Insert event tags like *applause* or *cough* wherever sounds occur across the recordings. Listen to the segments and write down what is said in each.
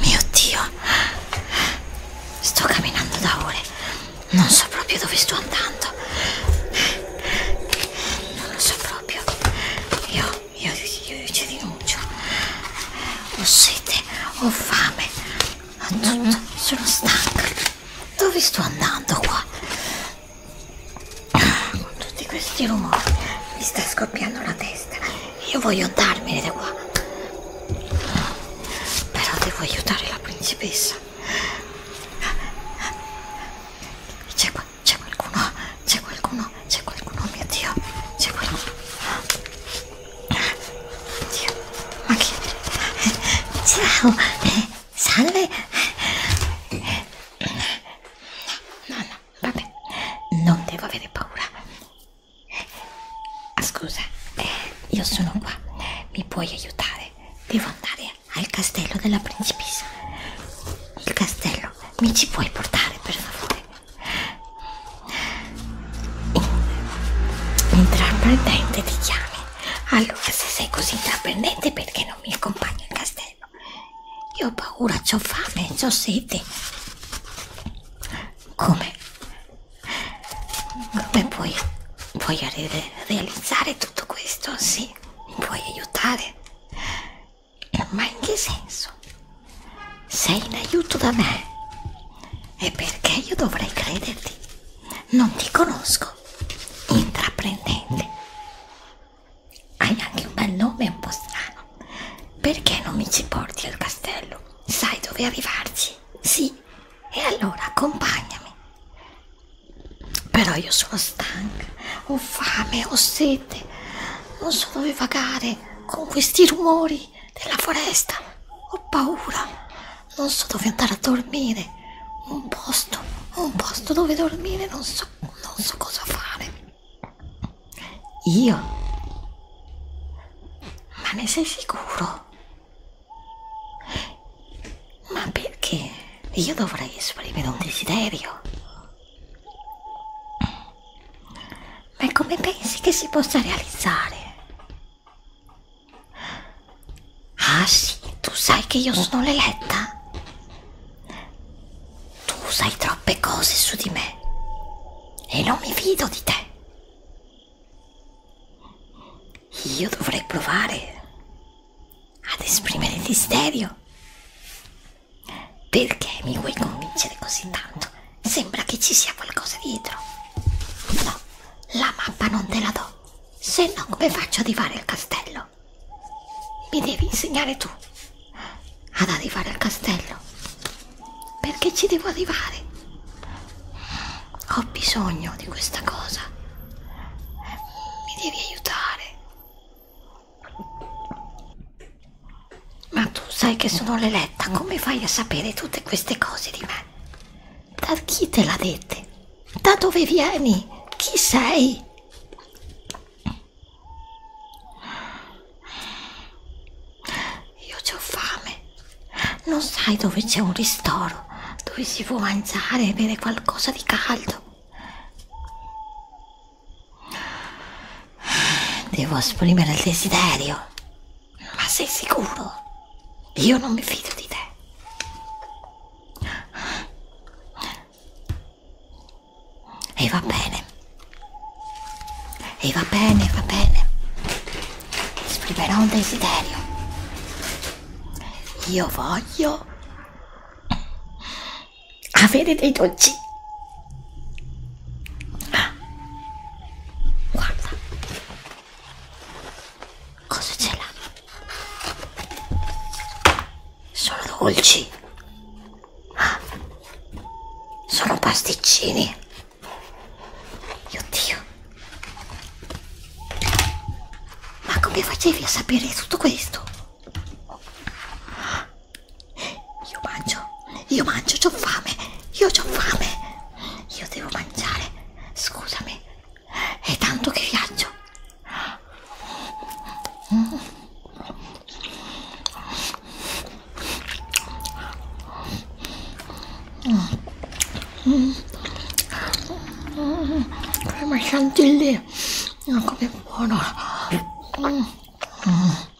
Mio Dio, sto camminando da ore, non so proprio dove sto andando. Non lo so proprio. Io io, io, io ci rinuncio. Ho sete, ho fame, tutto, sono stanca. Dove sto andando qua? Con tutti questi rumori mi sta scoppiando la testa. Io voglio andarmene da qua. Però devo aiutare la principessa. C'è qualcuno? C'è qualcuno? C'è qualcuno? Mio Dio! C'è qualcuno? Dio! Ma che... Ciao! Salve! No, no, vabbè. Non devo avere paura. Ah, scusa, io sono qua. Mi puoi aiutare? Devo andare al castello della principessa. Il castello, mi ci puoi portare per favore? Intraprendente ti chiami. Allora, se sei così intraprendente, perché non mi accompagni al castello? Io ho paura, ho fame, ho sete. Come? Come puoi, puoi re realizzare tutto questo? Sì, mi puoi aiutare? Ma in che senso? Sei in aiuto da me? E perché io dovrei crederti? Non ti conosco. Intraprendente. Hai anche un bel nome un po' strano. Perché non mi ci porti al castello? Sai dove arrivarci? Sì. E allora accompagnami. Però io sono stanca, ho fame, ho sete. Non so dove vagare con questi rumori fuori, nella foresta. Ho paura. Non so dove andare a dormire. Un posto, un posto dove dormire, non so, non so cosa fare. Io? Ma ne sei sicuro? Ma perché? Io dovrei esprimere un desiderio. Ma come pensi che si possa realizzare? Ah sì, tu sai che io sono l'eletta? Tu sai troppe cose su di me e non mi fido di te. Io dovrei provare ad esprimere il desiderio. Perché mi vuoi convincere così tanto Sembra che ci sia qualcosa dietro. No, la mappa non te la do. Se no, come faccio ad arrivare al castello? Mi devi insegnare tu ad arrivare al castello. Perché ci devo arrivare? Ho bisogno di questa cosa. Mi devi aiutare. Ma tu sai che sono l'eletta, come fai a sapere tutte queste cose di me? Da chi te l'ha dette? Da dove vieni? Chi sei? Io ho fame. Non sai dove c'è un ristoro, dove si può mangiare e bere qualcosa di caldo. Devo esprimere il desiderio. Ma sei sicuro? Io non mi fido di te. E va bene. E va bene, va bene. Esprimerò un desiderio. Io voglio avere dei dolci. Ah, guarda cosa ce l'ha? Sono dolci. Ah, sono pasticcini. Oddio. Ma come facevi a sapere tutto questo? Io mangio, io mangio, ho fame, io ho fame, io devo mangiare, scusami, è tanto che viaggio. Come chantilly, non come buono.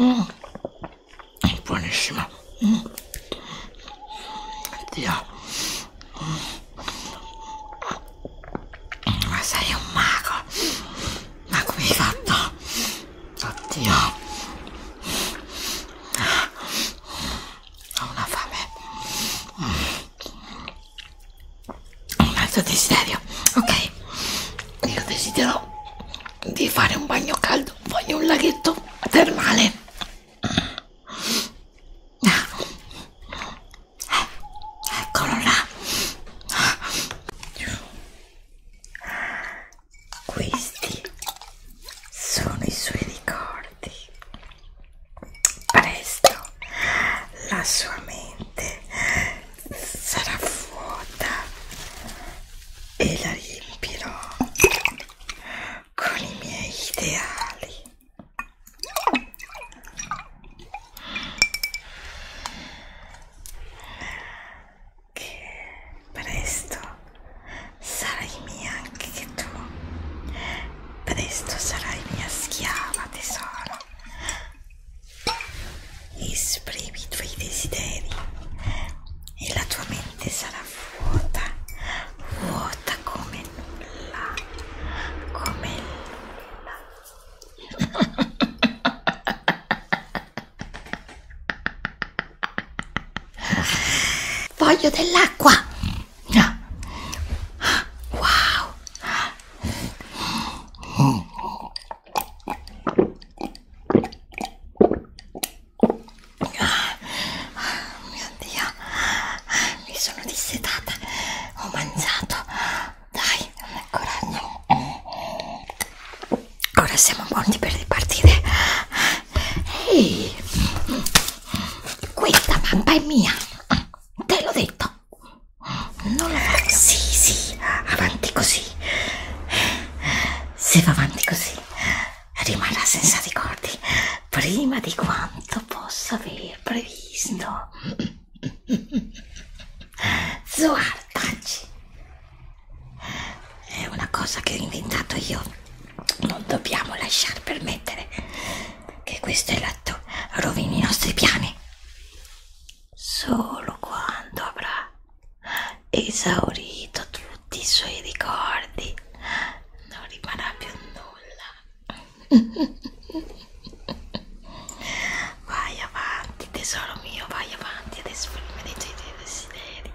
Mm. È buonissima. Mm. Dio. Mm. Ma sei un mago. Ma come hai fatto? Oddio. Ho una fame. Un altro desiderio. Ok. Io desidero di fare un bagno caldo. Voglio un laghetto termale. Eccolo là. Questi sono i suoi ricordi. Presto la sua mente sarà vuota e la riempirò con i miei ideali che presto sarai mia anche che tu presto sarai mia schiava tesoro esprimi i tuoi desideri e la tua mente sarà vuota vuota come nulla come nulla *laughs* Voglio dell'acqua. Wow. Oh, mio Dio, mi sono dissetata, ho mangiato. Dai, ancora no ora siamo pronti per ripartire ehi questa mappa è mia te l'ho detto non la faccio sì sì avanti così se va avanti così rimarrà senza ricordi prima di quanto possa aver previsto Zoar, taci è una cosa che ho inventato io non dobbiamo lasciar permettere che questo eletto rovini i nostri piani solo quando avrà esaurito tutti i suoi ricordi non rimarrà più nulla *laughs* vai avanti tesoro mio vai avanti ad esprimere i tuoi desideri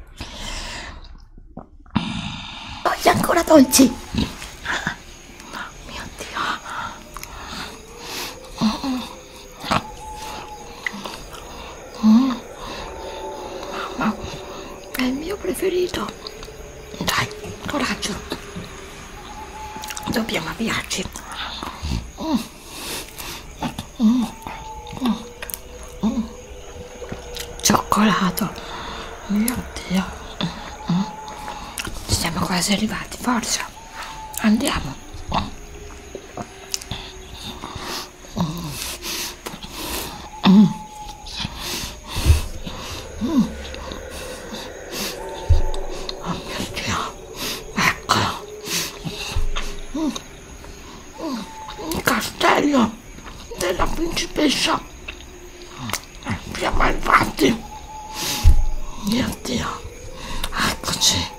Togli ancora dolci! Oh, mio Dio! Mm. Mamma, è il mio preferito! Dai, coraggio! Dobbiamo avviarci! Mm mm, mm, mm. Cioccolato, mio Dio, mm, mm. siamo quasi arrivati, forza, andiamo. Mm. Mm. Oh mio Dio, ecco. Mm. Un castello della principessa Andiamo avanti mio dio eccoci